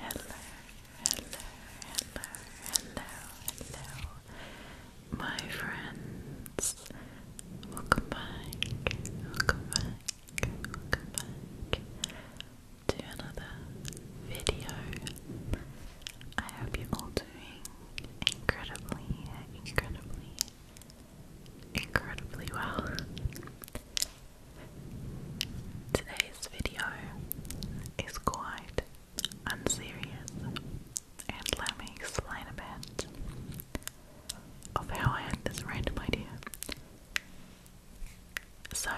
Hello, hello, hello, hello, hello, my friends. Welcome back, welcome back, welcome back to another video. I hope you're all doing incredibly, incredibly, incredibly well. Today's video is quite unserious, and let me explain a bit of how I had this random idea. So,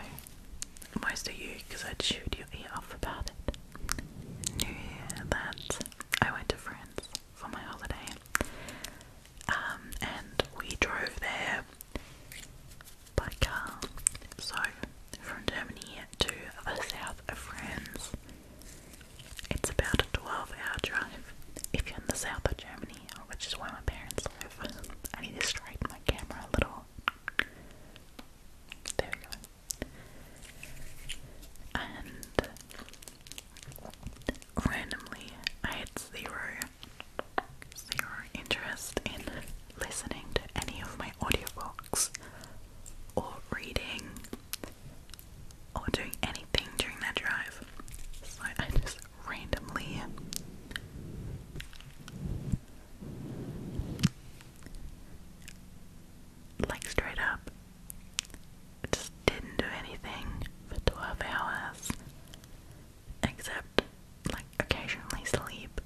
most of you, because I'd your ear off about it, knew that I went to France for my holiday. Um, and we drove there by car. So, from Germany to the south of France, it's about a 12 hour drive if you're in the south of Germany, which is where my parents live. I need to straighten my camera a little. There we go. And randomly, I had zero your interest in listening to any of my audiobooks or reading or doing anything during that drive. So I just randomly like straight up just didn't do anything for 12 hours except like occasionally sleep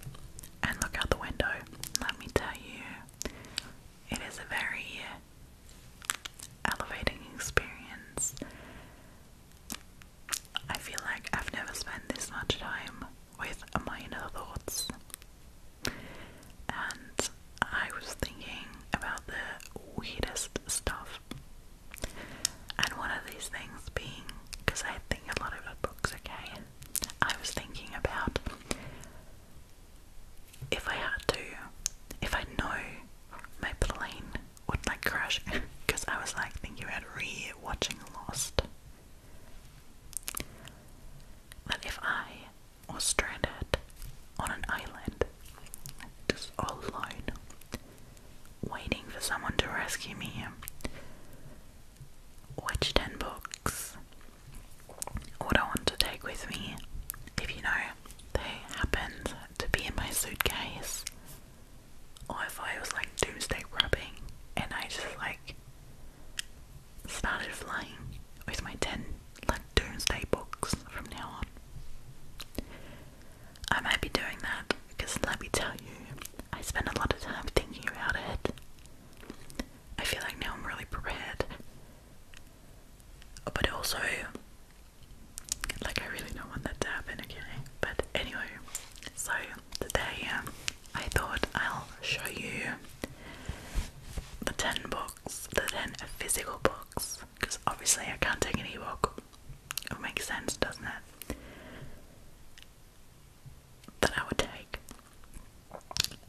and look out the window. Let me tell you, it is a very elevating experience. I feel like I've never spent this much time with minor thoughts. And I was thinking about the weirdest stuff. And one of these things being, because I think a lot about books, okay, I was thinking about if I had to, if I know my plane would like crash, because I was like thinking about re watching Lost. That if I was stranded on an island, just all alone, waiting for someone to rescue me, which 10 books would I want to take with me? If you know they happened to be in my suitcase, or if I was like doomsday grabbing and I just like started flying with my 10 like doomsday books from now on. I might be doing that because let me tell you, I spend a lot of time thinking about it. I feel like now I'm really prepared. But also, like, I really don't want that to happen, okay? But anyway, so today um, I thought I'll show you the 10 books, the 10 physical books, because obviously I can't take an e-book. It makes sense, doesn't it? that I would take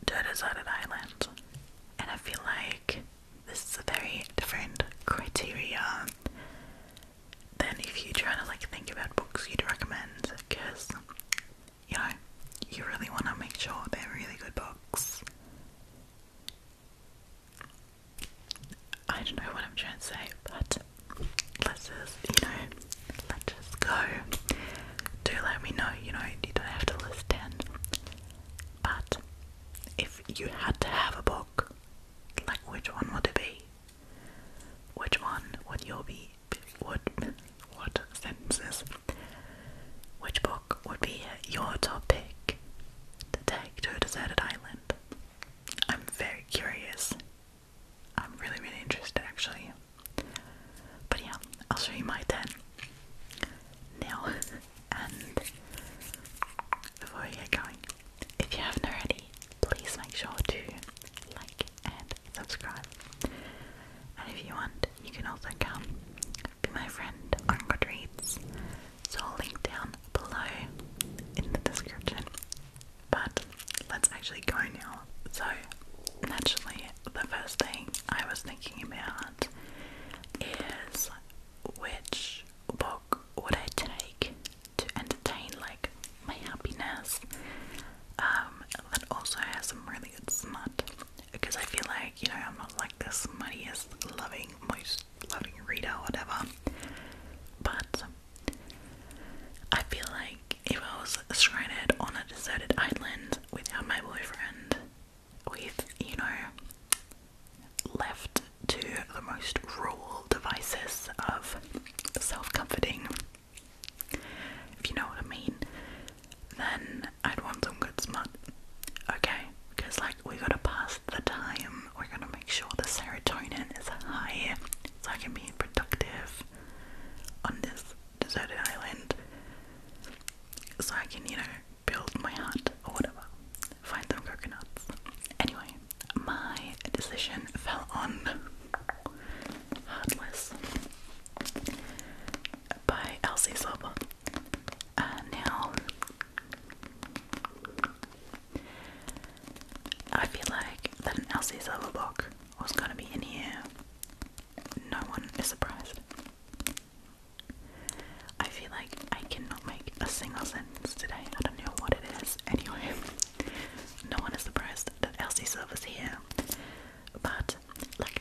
to a deserted island. And I feel like this is a very different criteria than if you are trying to like think about books you'd recommend because you know you really want to make sure they're really good books. I don't know what I'm trying to say, but let's just you know let's just go. Do let me know. You know you don't have to list ten, but if you had to have a book, like which one would it be? Which one would you be? Would what sentences? Which book would be your top pick to take to a deserted island? I'm very curious I'm really, really interested actually. But yeah, I'll show you my 10 now. and before we get going, if you haven't already, please make sure to like and subscribe. And if you want, you can also come be my friend on Goodreads. I'll link down below in the description. But let's actually go now. So, naturally, the first thing I was thinking about is which book would I take to entertain like my happiness um, that also has some really good smut because I feel like you know I'm not like the smuttiest loving most loving reader whatever but I feel like if I was stranded on a deserted island without my boyfriend, with, you know, left to the most rural devices of self comforting, if you know what I mean, then I'd want some good smut. Okay, because like we gotta pass the time, we're gonna make sure the serotonin is high so I can be productive on this deserted island so I can, you know, build my hut or whatever. Find some coconuts. Anyway, my decision fell on Heartless by Elsie Silver. Uh, now, I feel like that Elsie Silver book was going to be in here, no one is surprised. I feel like I cannot make a single sentence today. I don't know what it is. Anyway, no one is surprised that Elsie Silver's here. But, like,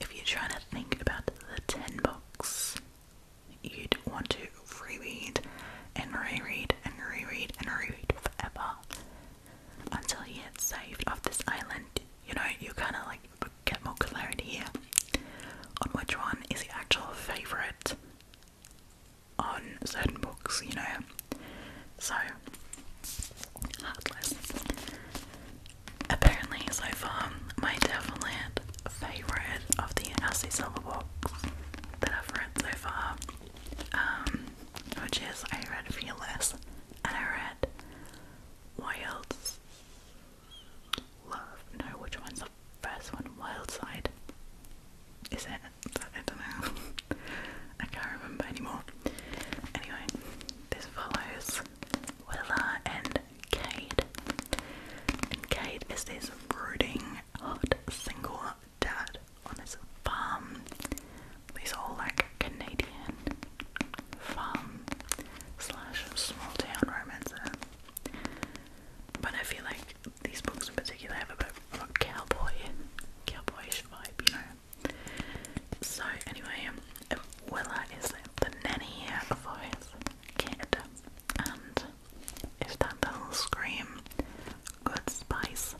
if you're trying to think about the 10 books you'd want to reread and reread and reread and reread forever, until he get saved off this island. You know, you kind of like get more clarity here on which one is the actual favourite on certain books, you know. So, Heartless. Apparently, so far, my Devilland favourite of the Elsie Silver books that I've read so far um, which is I read Fearless and I read Wild's Love. No, which one's the first one? Wild Side. Is it? I don't know. I can't remember anymore. Anyway, this follows Willa and Kate. And Cade is this brooding, hot, single dad on his farm these all like Canadian farm slash small town romances. But I feel like these books in particular have a bit of cowboy, cowboyish vibe, you know. So anyway, Willa is the nanny for his kid, and if that doesn't scream good spice,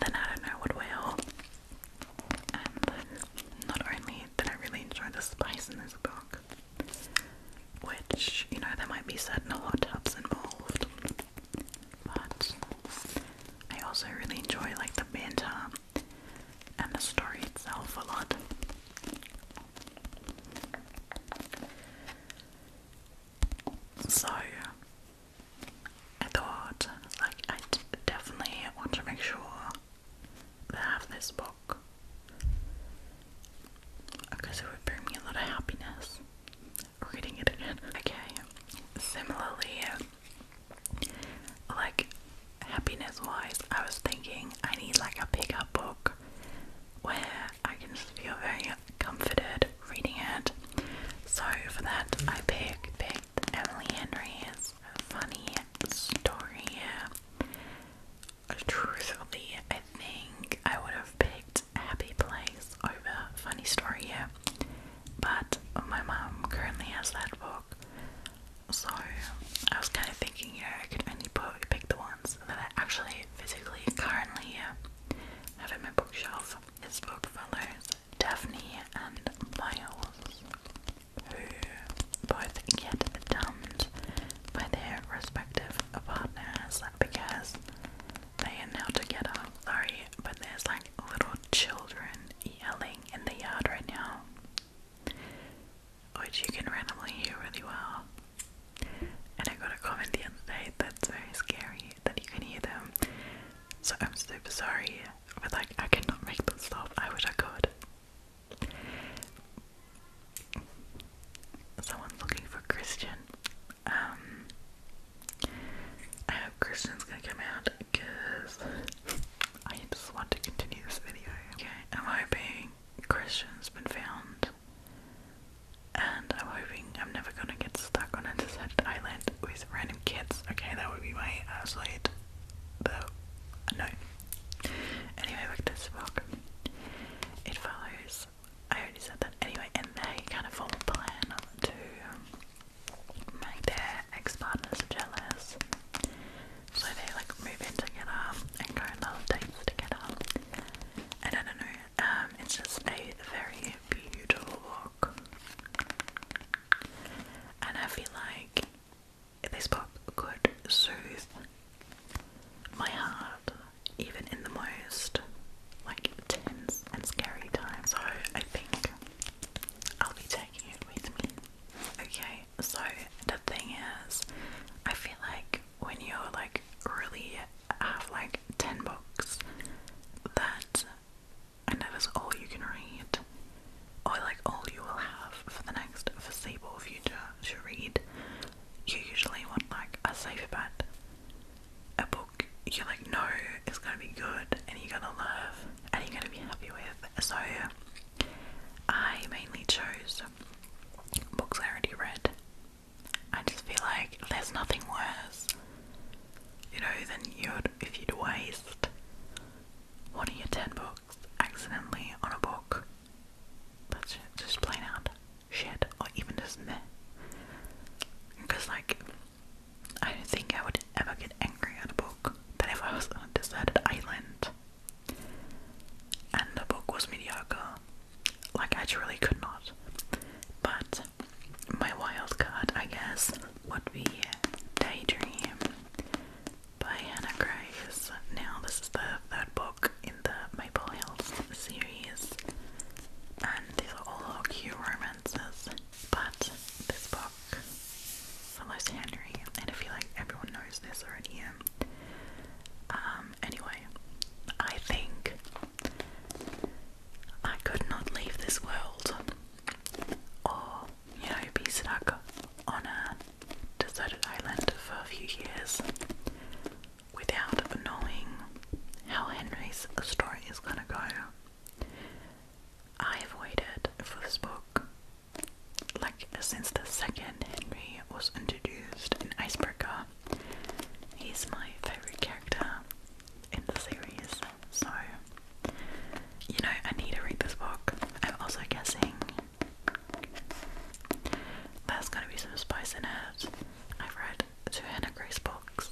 then I don't know what will not only did I really enjoy the spice in this book, which, you know, there might be certain hot tubs involved, but I also really enjoy like the banter and the story itself a lot. So I thought, like, I definitely want to make sure I have this book because it would bring me a lot of happiness reading it Okay, similarly, like, happiness wise, I was thinking I need like a pickup book where I can just feel very comforted reading it. So for that, I picked the right, Emily Henry's funny story. Truthfully, I think I would have picked Happy Place over Funny Story, but my mom currently has that book, so I was kind of thinking, you I could only put, pick the ones that I actually physically currently have in my bookshelf. This book follows Daphne and Miles, who both get dumped by their respective partners because they are now together. Sorry, but there's like little children yelling in the yard right now, which you can randomly hear really well. And I got a comment the other day that's very scary that you can hear them. So I'm super sorry but like, I cannot make them stop. I wish I could. Someone's looking for Christian. Um, I hope Christian's gonna come out because I just want to continue this video. Okay, I'm hoping Christian's been found, and I'm hoping I'm never gonna get stuck on a deserted island with random kids. Okay, that would be my absolute but no. Anyway, back to Spock. It follows. I already said that. Anyway, and they kind of form a plan to um, make their ex-partners jealous. So they like move in together and go on little dates together. And I don't know. Um, it's just a very beautiful book and I feel like this book could soothe my heart even in the most like tense and scary times. So I think I'll be taking it with me. Okay, so the thing is, I feel like when you're like really have like 10 books that and that is all you can read, I like all you will have for the next foreseeable future to read. You usually want like a safe bet, a book you like know is gonna be good and you're gonna love and you're gonna be happy with. So I mainly chose books I already read. I just feel like there's nothing worse, you know, than you'd if you'd waste one of your ten books accidentally on a book. That's just plain out shit, or even just me? Because, like, I don't think I would ever get angry at a book. That if I was on a deserted island and the book was mediocre, like, I truly could not. But my wild card, I guess, would be Daydream by Hannah Grace. Now, this is the third book in the Maple Hills series, and these are all cute romances. But this book follows Henry, and I feel like everyone knows this already. Um, anyway, I think I could not leave this world or you know, be stuck on a deserted island for a few years without knowing how Henry's story is gonna go. I've waited for this book like since the second Henry was introduced in Icebreaker. He's my favorite character in the series, so you know, I need to read this book. I'm also guessing there's gonna be some spice in it. I've read two Hannah Grace books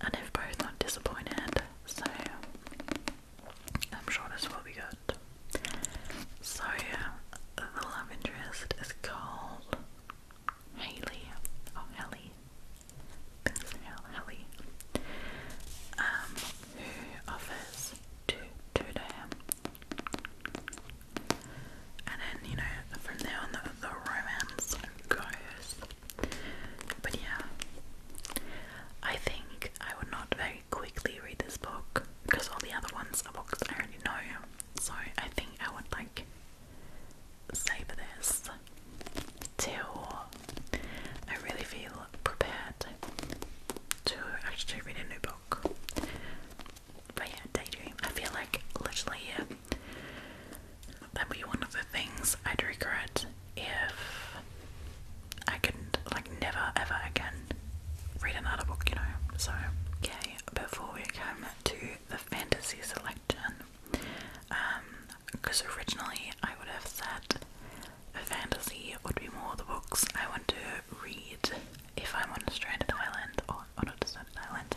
and if have both not disappointed, so I'm sure this will be good. So the love interest is called Haley. Oh Hallie. This Hallie. Um who offers to tutor him. And then, you know, from there on, the, the romance goes. But yeah, I think I would not very quickly read this book because all the other ones are books I already know. So I think I would like savor this till I really feel prepared to actually read a new book. But yeah, daydream. I feel like literally yeah, that would be one of the things I'd regret if I couldn't like never ever again read another book, you know. So yeah, before we come to the fantasy selection, um, because originally I would have said fantasy would be more the books I want to read if I'm on a stranded island or on a deserted island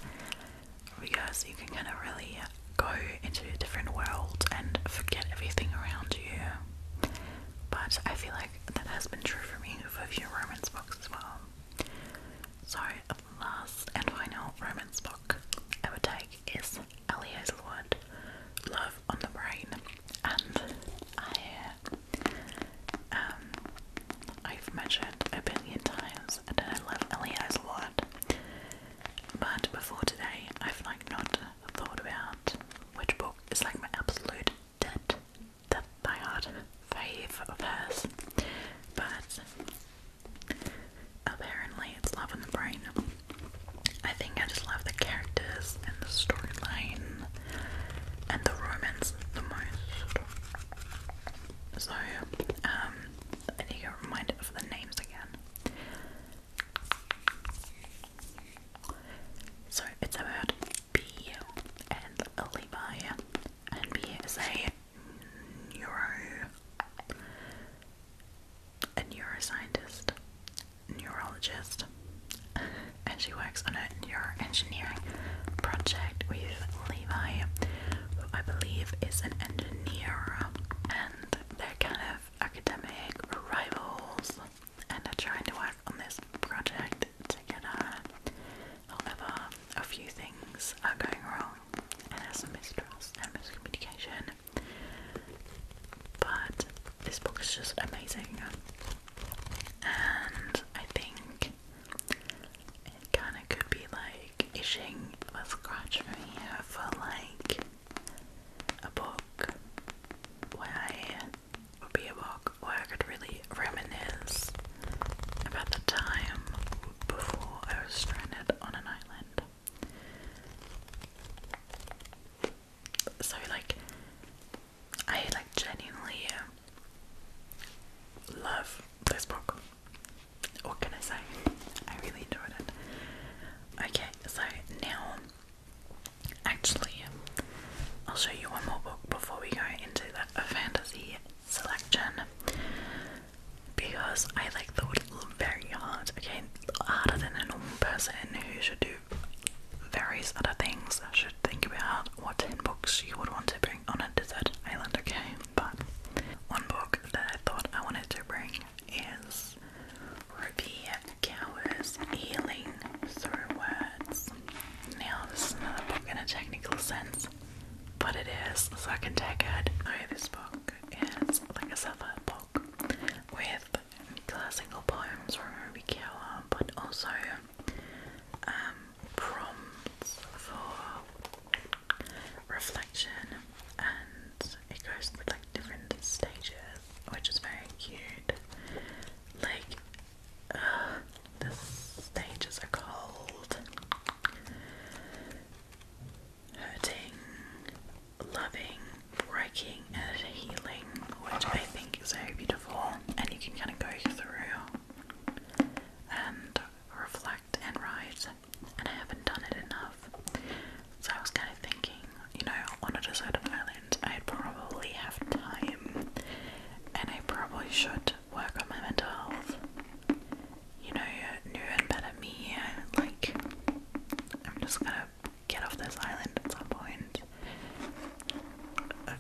because you can kind of really go into a different world and forget everything around you. But I feel like that has been true for me with a few romance books as well. So, last and final romance book I would take is Ellie Hazelwood, Love on the brain, and I uh, um I've measured a billion times and I love Elias a lot. But before today, I've like not thought about which book is like my absolute dead, dead diehard fave of hers. But apparently, it's Love in the Brain. I think I just love the characters and the storyline and the romance the most. So, um, I need to get reminded of the names again. So, it's about B and Levi, and B is a neuro. A neuroscientist, neurologist, and she works on a neuroengineering project with Levi, who I believe is an engineer, and they're kind of academic rivals, and are trying to work on this project together. However, a few things are going wrong, and there's some mistrust and miscommunication. But this book is just amazing and I think it kind of could be like itching a scratch from here for like a book where I would be a book where I could really reminisce about the time before I was stranded on an island. So, like, I like genuinely um, love this book. What can I say? I really enjoyed it. Okay, so now actually I'll show you one more book before we go into the fantasy selection because I like thought very hard, okay, harder than a normal person who should do various other things I should think about what 10 books you would want to bring on a desert island, okay? But one book that I thought I wanted to bring is Ruby Cower's Healing Through Words. Now, this is another book in a technical sense, but it is, so I can take it. So, this book is like a self book with classical poems from Ruby Kawa, but also um, prompts for reflection, and it goes through like different stages, which is very cute. Like uh, the stages are called hurting, loving, breaking and healing, which I think is very beautiful. And you can kind of go through and reflect and write. And I haven't done it enough. So I was kind of thinking, you know, on a deserted island, I'd probably have time and I probably should work on my mental health. You know, new and better me. Like, I'm just gonna get off this island at some point.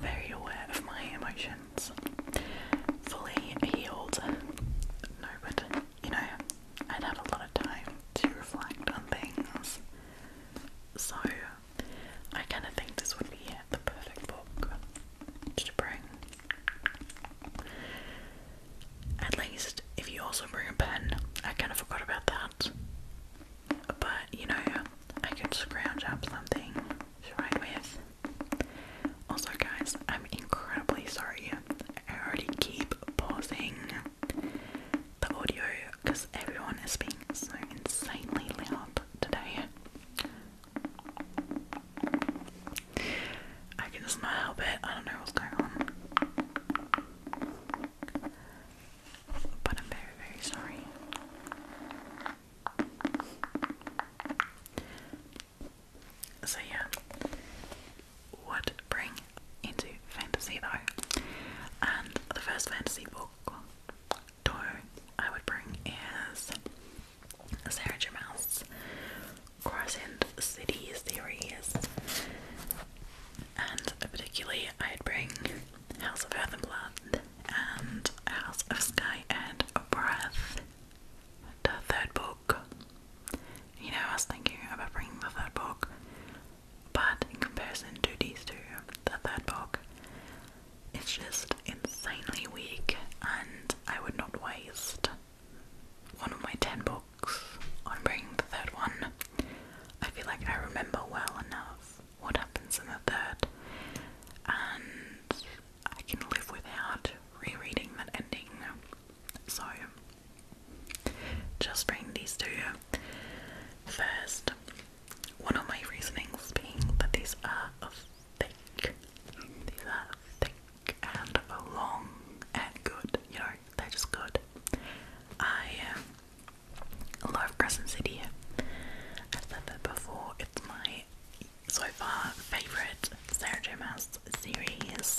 Very aware of my emotions. Fully healed. No, but you know, I'd had a lot of time to reflect on things. So I kinda think this would be the perfect book to bring. At least if you also bring a pen. I kinda forgot about that but you know, I could scrounge up something to write with. Also, guys, I'm incredibly sorry. I already keep pausing the audio because everyone is being so insanely loud today. I can just not help it. I don't know what's going on but I'm very, very sorry. So, yeah, would bring into fantasy though. And the first fantasy book I would bring is Sarah J. Maas' Crescent City series. And particularly, I'd bring House of Earth and Blood and House of Sky and Breath, the third book. You know, I was thinking about bringing the third book, but in comparison to these two, the third book is just insanely weak, and I would not waste one of my ten books on bringing the third one. I feel like I remember well enough what happens in the third, and I can live without rereading that ending. So, just reading these two first. One of my reasonings being that these are thick, these are thick and long and good. You know, they're just good. I I love Crescent City. I've said that before, it's my so far favourite Sarah J. series,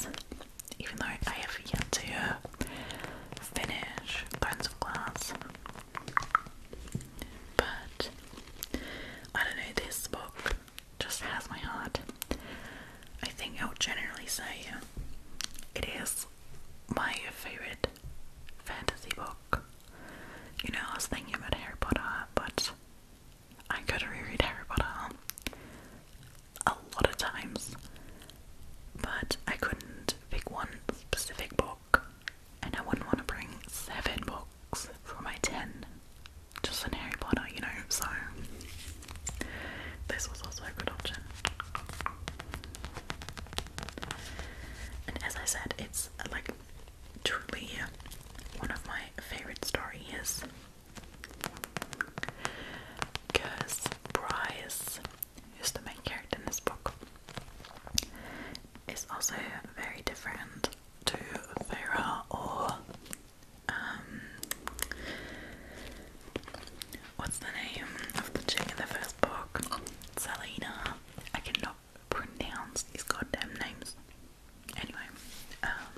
even though I have yet to finish Thrones of Glass. But I don't know, this book just has my heart. I think I would generally say it is my favourite fantasy book you know, I was thinking about Harry Potter, but I could reread Harry Potter a lot of times, but I couldn't pick one specific book, and I wouldn't want to bring seven books for my ten just in Harry Potter, you know, so this was also a good option. And as I said, it's like truly one of my favorite stories because Bryce, who's the main character in this book, is also very different to Vera or um, what's the name of the chick in the first book? Selena. I cannot how pronounce these goddamn names. Anyway, um,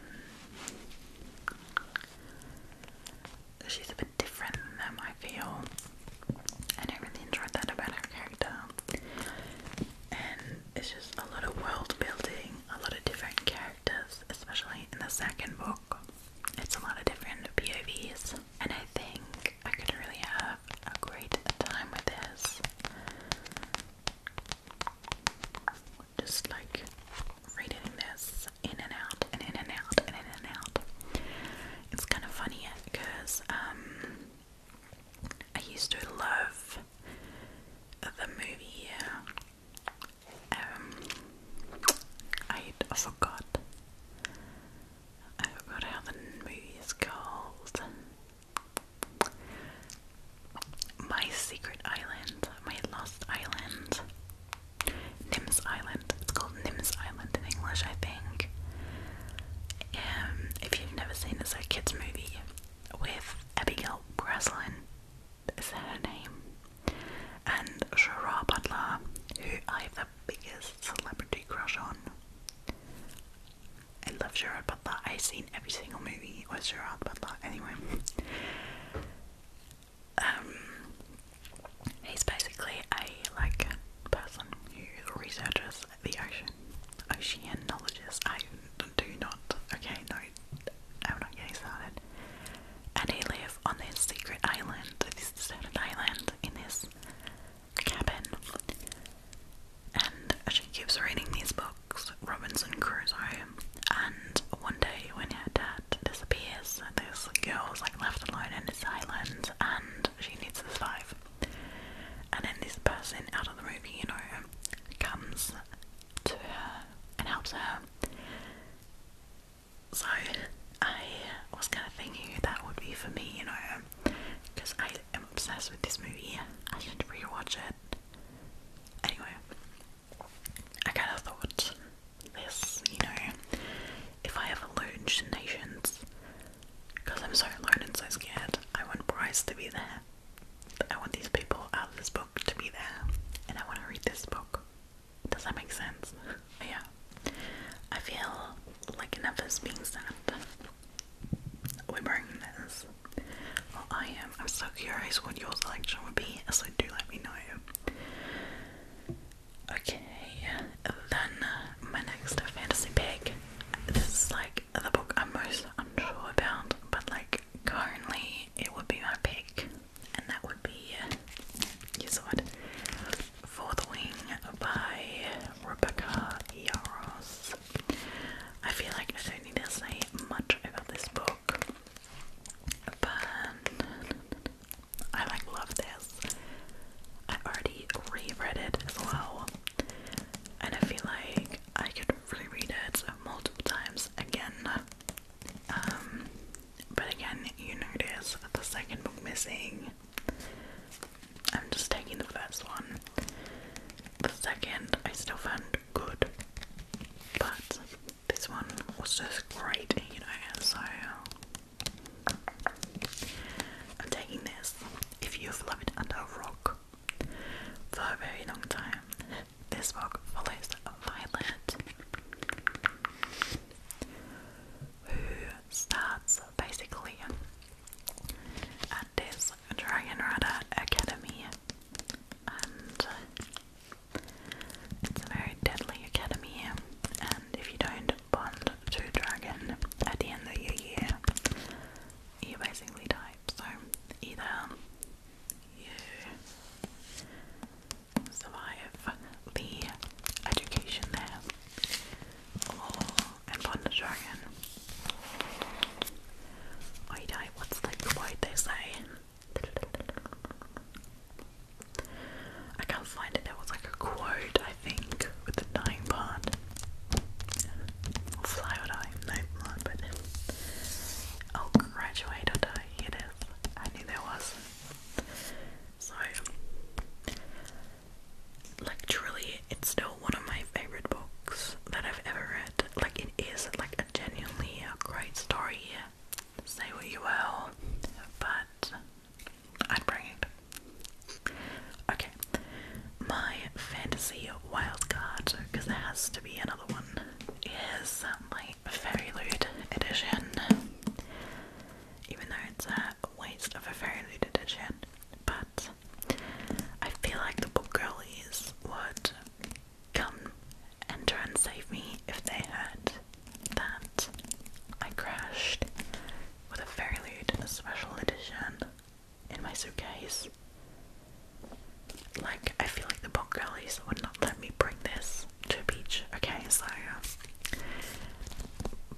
she's a bit different than I feel, and I really enjoyed that about her character. And it's just a lot of world building, a lot of different characters, especially in the second book. It's a lot of different POVs, and I think I could really have a great time with this. Just like reading this in and out and in and out and in and out. It's kind of funny because um, I used to love the movie. Um, I forgot. I forgot how the movie is called. My secret island, my lost island, Nims Island. It's called Nims Island in English, I think. Um, if you've never seen this kids' movie with Abigail Breslin, is that her name? And Shara Butler, who I have the biggest celebrity crush on. I love Gerard Butler. I've seen every single movie with Gerard Butler. Anyway, um, he's basically a like person who researches the ocean, oceanologist. I do not. Okay, no, I'm not getting started. And he lives on this secret island, this deserted island, in this cabin. And she keeps reading these books, Robinson Crusoe. And one day, when her dad disappears, this girl's like left alone in this island, and she needs to survive. And then this person out of the movie, you know, comes to her and helps her. So I was kind of thinking that would be for me, you know because I am obsessed with this movie. I should rewatch it. Anyway, I kind of thought this, you know, if I ever learn nations, because I'm so alone and so scared, I want Bryce to be there. I want these people out of this book to be there, and I want to read this book. Does that make sense? yeah. I feel like enough is being said we're bringing this. I am. I'm so curious what your selection would be, so do let me know. Okay, then uh, my next fantasy pick. This is like the book I'm most unsure about, but like currently it would be my pick, and that would be you saw it, Fourth Wing by Rebecca Yaros. I feel like I don't need to say much about this book, but I like love this. I already reread it as well, and I feel like I could reread it multiple times again. Um, but again, you notice the second book missing. I'm just taking the first one the second I still found good, but this one was just great, you know, so I'm taking this. If you've loved under a rock for a very long time, this rock follows Violet, who starts basically at this Dragonrata Academy, and it's a very deadly academy. And if you don't bond to dragon at the end of your year, you basically die. So either you survive the education there, or and Bondajargan. Oidai, what's the word they say? I can't find it, there was like a quote, I think, with the dying part. Or fly or die, no, not, but. Oh, graduate or die, here it is. I knew there was. So, like, it's still one of my favorite books that I've ever read. Like it is like a genuinely uh, great story. Say what you will, but I'd bring it. Okay, my fantasy wild because there has to be another one is um, my Fairy edition. Even though it's a waste of a Fairy edition, but I feel like the book girlies would come enter and save me if they heard that I crashed with a very lewd special edition in my suitcase. Like, I feel like the book girlies would not let me bring this to a beach. Okay, so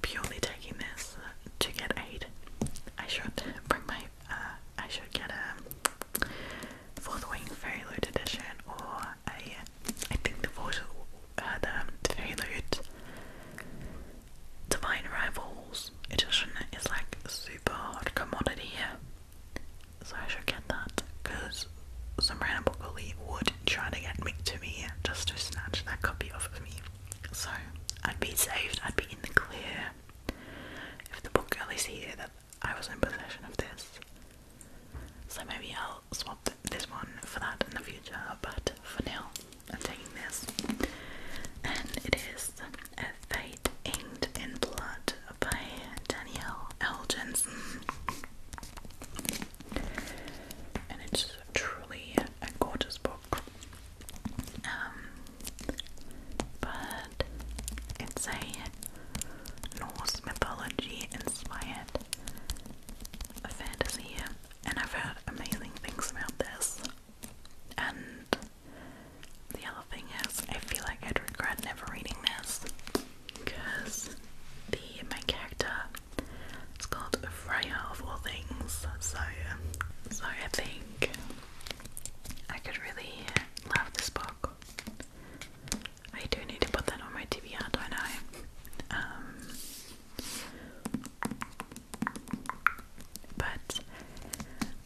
purely taking this to get aid, I should bring my uh, I should get a fourth Wing Fairy Loot edition, or a I think the voice uh, the Fairy Loot Divine Rivals edition is like super hard commodity, so I should get that because some random bully would try to get me to me just to snatch that copy off of me. So I'd be saved, I'd be in the clear. If the book girl is here, that I was in possession of this. So maybe I'll swap this one for that in the future, but for now, I'm taking this. And it is A Fate Inked in Blood by Danielle L. Jensen. And it's truly a gorgeous book. Um, but it's a Norse mythology inspired fantasy, and I've heard amazing things about this. And the other thing is, I feel like I'd regret never reading this because the my character is called Freya of all things. So, so I think I could really love this book. I do need to put that on my TBR, I? Um, but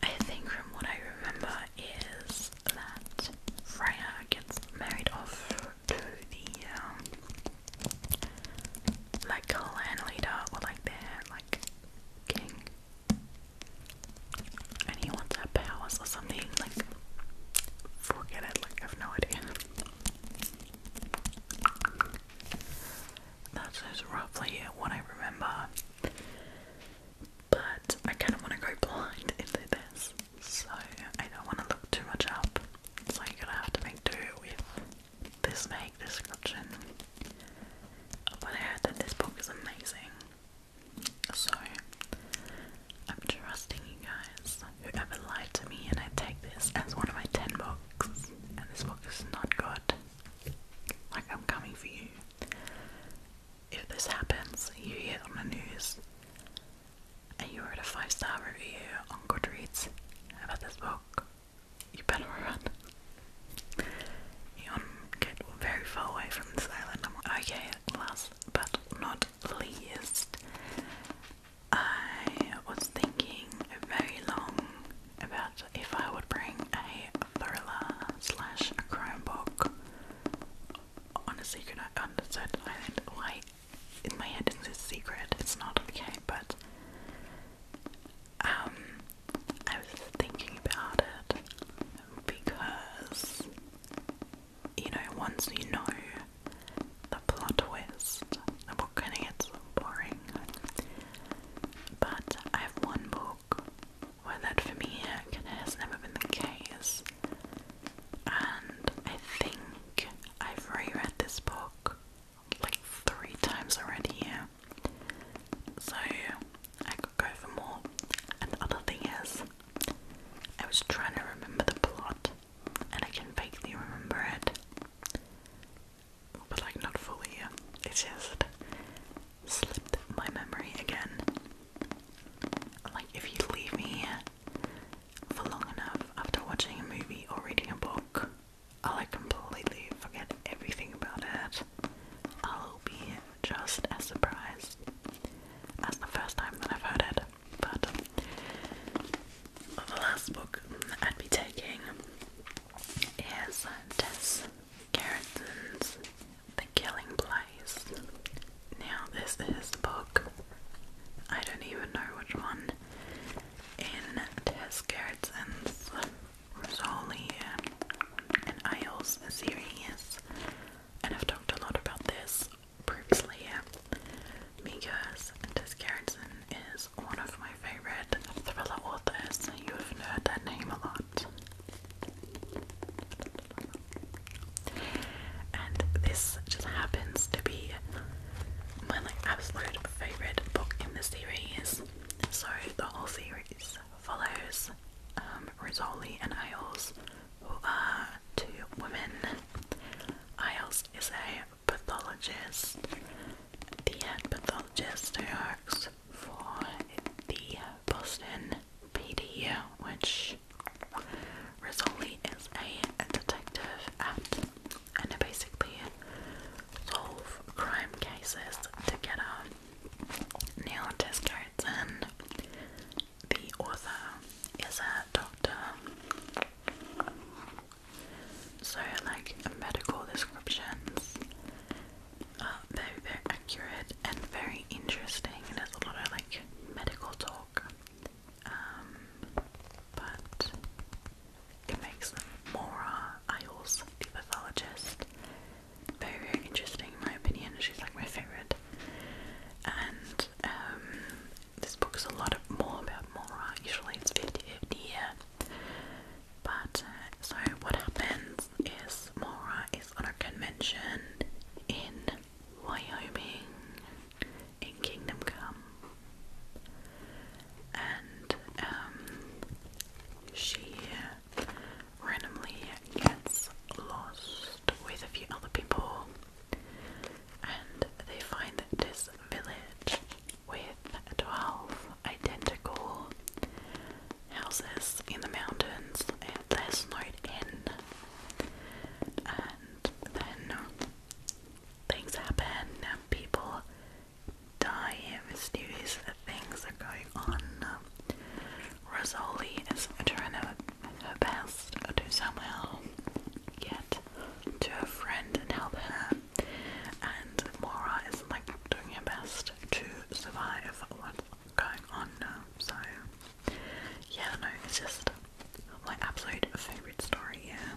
I think from what I remember is that Freya gets married off to the um, like clan leader or like their like king and he wants a palace or something. Like, forget it. Like, I have no idea. That's just roughly what I remember. But I kind of want to go blind into this, so I don't want to look too much up. So you're gonna have to make do with this make description. But I heard that this book is amazing. So I'm trusting you guys. Whoever lied to me, and I take this as one of my 10 books, and this book is not good. Like, I'm coming for you. If this happens, you hear on the news, and you wrote a five star review on Goodreads about this book, you better run. Eon get very far away from this island. Okay, last but not least, I was thinking very long about if I would bring a thriller slash a Chromebook on a secret island. Why? In my head, it's a secret. It's not okay, but um, I was thinking about it because you know, once you know the plot twist, the book kind of gets boring. But I have one book where that for me uh, has never been the case, and I think I've reread this book like three times already. So I could go for more. And the other thing is, I was trying to remember the plot, and I can vaguely remember it, but like not fully. It just slipped my memory again. Like if you leave me for long enough after watching a movie or reading a book, I'll like completely forget everything about it. I'll be just as surprised as the first time that I've heard it. But the last book I'd be taking is Tess Gerritsen's The Killing Place. Now, this is the book. I don't even know which one in Tess Gerritsen's Rosalie and IELTS series, and I've talked a lot about this previously because Tess Gerritsen is one of my favorite thriller authors. You have heard that name a lot. And this just happens to be my like absolute favorite book in the series. So the whole series follows um, is and Isles, who are two women. Isles is a pathologist, the pathologist who works for the Boston PD, which Rizzoli is a detective at, and they basically solve crime cases together. Neil Tiskerson. The author is a doctor. So, like, medical descriptions are very, very accurate and very interesting. There's a lot of, like, medical talk. Um, but it makes Mora Isles, the pathologist, very, interesting in my opinion. She's like my favourite. And um, this book is a lot more about Mora. Usually it's 50 50 But uh, so what happens is Mora is on a convention in Wyoming in Kingdom Come. And um, she randomly gets lost with a few other people and they find this village with 12 identical houses in the mountains and they're snowed in and then things happen and people die mysterious things are going on Rosoli is trying her, best to somehow get to a friend and help her, and Mora is like doing her best to survive what's going on So, yeah, I it's just my absolute favourite story, yeah,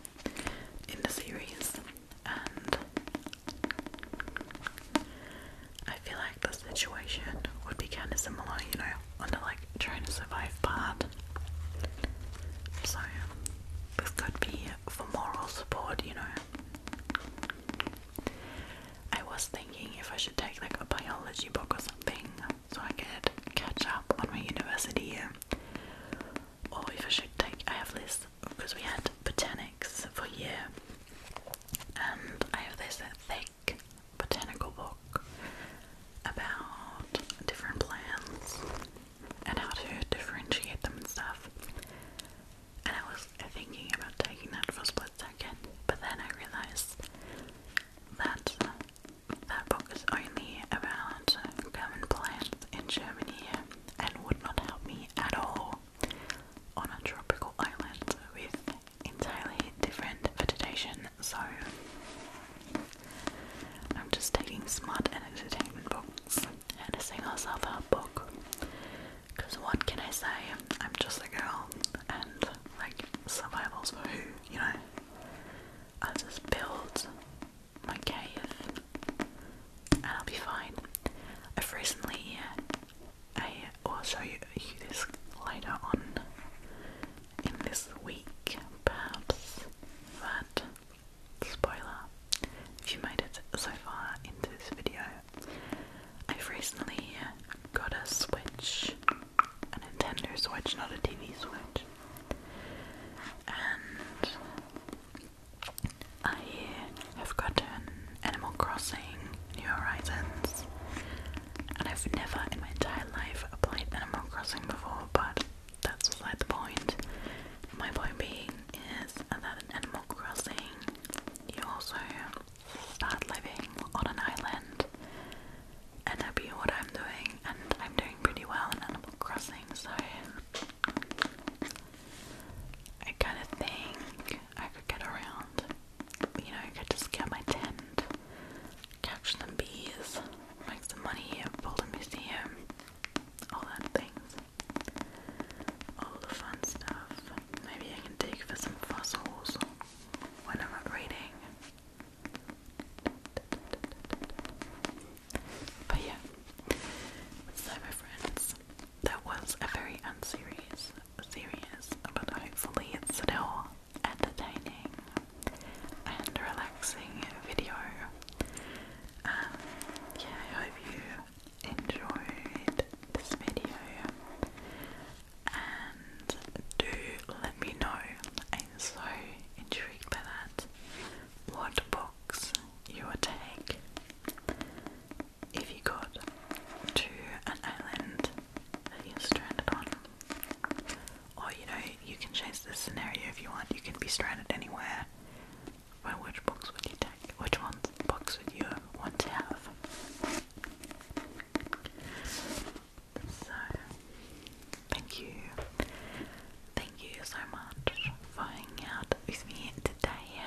in the series, I feel like the situation would be kind of similar, you know, on the like trying to survive part. So, this could be for moral support, you know. I was thinking if I should take like a biology book or something so I could catch up on my university, or if I should take, I have this because we had botanics for a year. And I have this thing botanical book about different plants and how to differentiate them and stuff. And I was thinking about taking that for a split second, but then I realized that that book is only about common plants in Germany and would not help me at all on a tropical island with entirely different vegetation, so I'm just taking smart entertainment books and a single ourselves our book. Because what can I say? I'm just a girl, and like survival's for who, you know? I'll just build my cave and I'll be fine. I've recently I will show you this later on in this week, perhaps. But spoiler, if you made it so far into this video, I've recently got a Switch, a Nintendo Switch, not a TV Switch, and I have gotten Animal Crossing New Horizons and I've never in my entire life played Animal Crossing before, but that's beside the point. My point being is that in Animal Crossing, you also start living on an island, and that'd be what I'm doing, and I'm doing pretty well in Animal Crossing, so I kind of think I could get around you know, I could just get my tent, catch some bees, make some money, build a museum, all that things. All the fun stuff. Maybe I can dig for some fossils when I'm not reading. But yeah, so my friends, that was a very unserious serious, but hopefully it's still entertaining and relaxing video. Um, yeah, I hope you enjoyed this video and do let me know. I'm so intrigued by that. What books you would take if you got to an island that you're stranded on? Or, you know, you can chase this scenario if you want. You can be stranded anywhere. Well, which books would you take? Which ones books would you want to have? So, thank you. Thank you so much for hanging out with me today.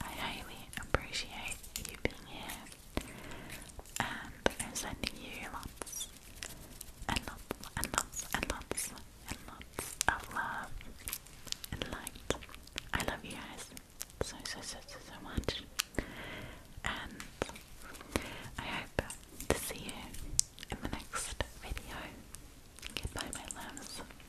I highly appreciate you being here. And i sending you lots and lots and lots and lots and lots of love and light. I love you guys so, so, so, so much. And I hope to see you in the next video. Goodbye, my loves.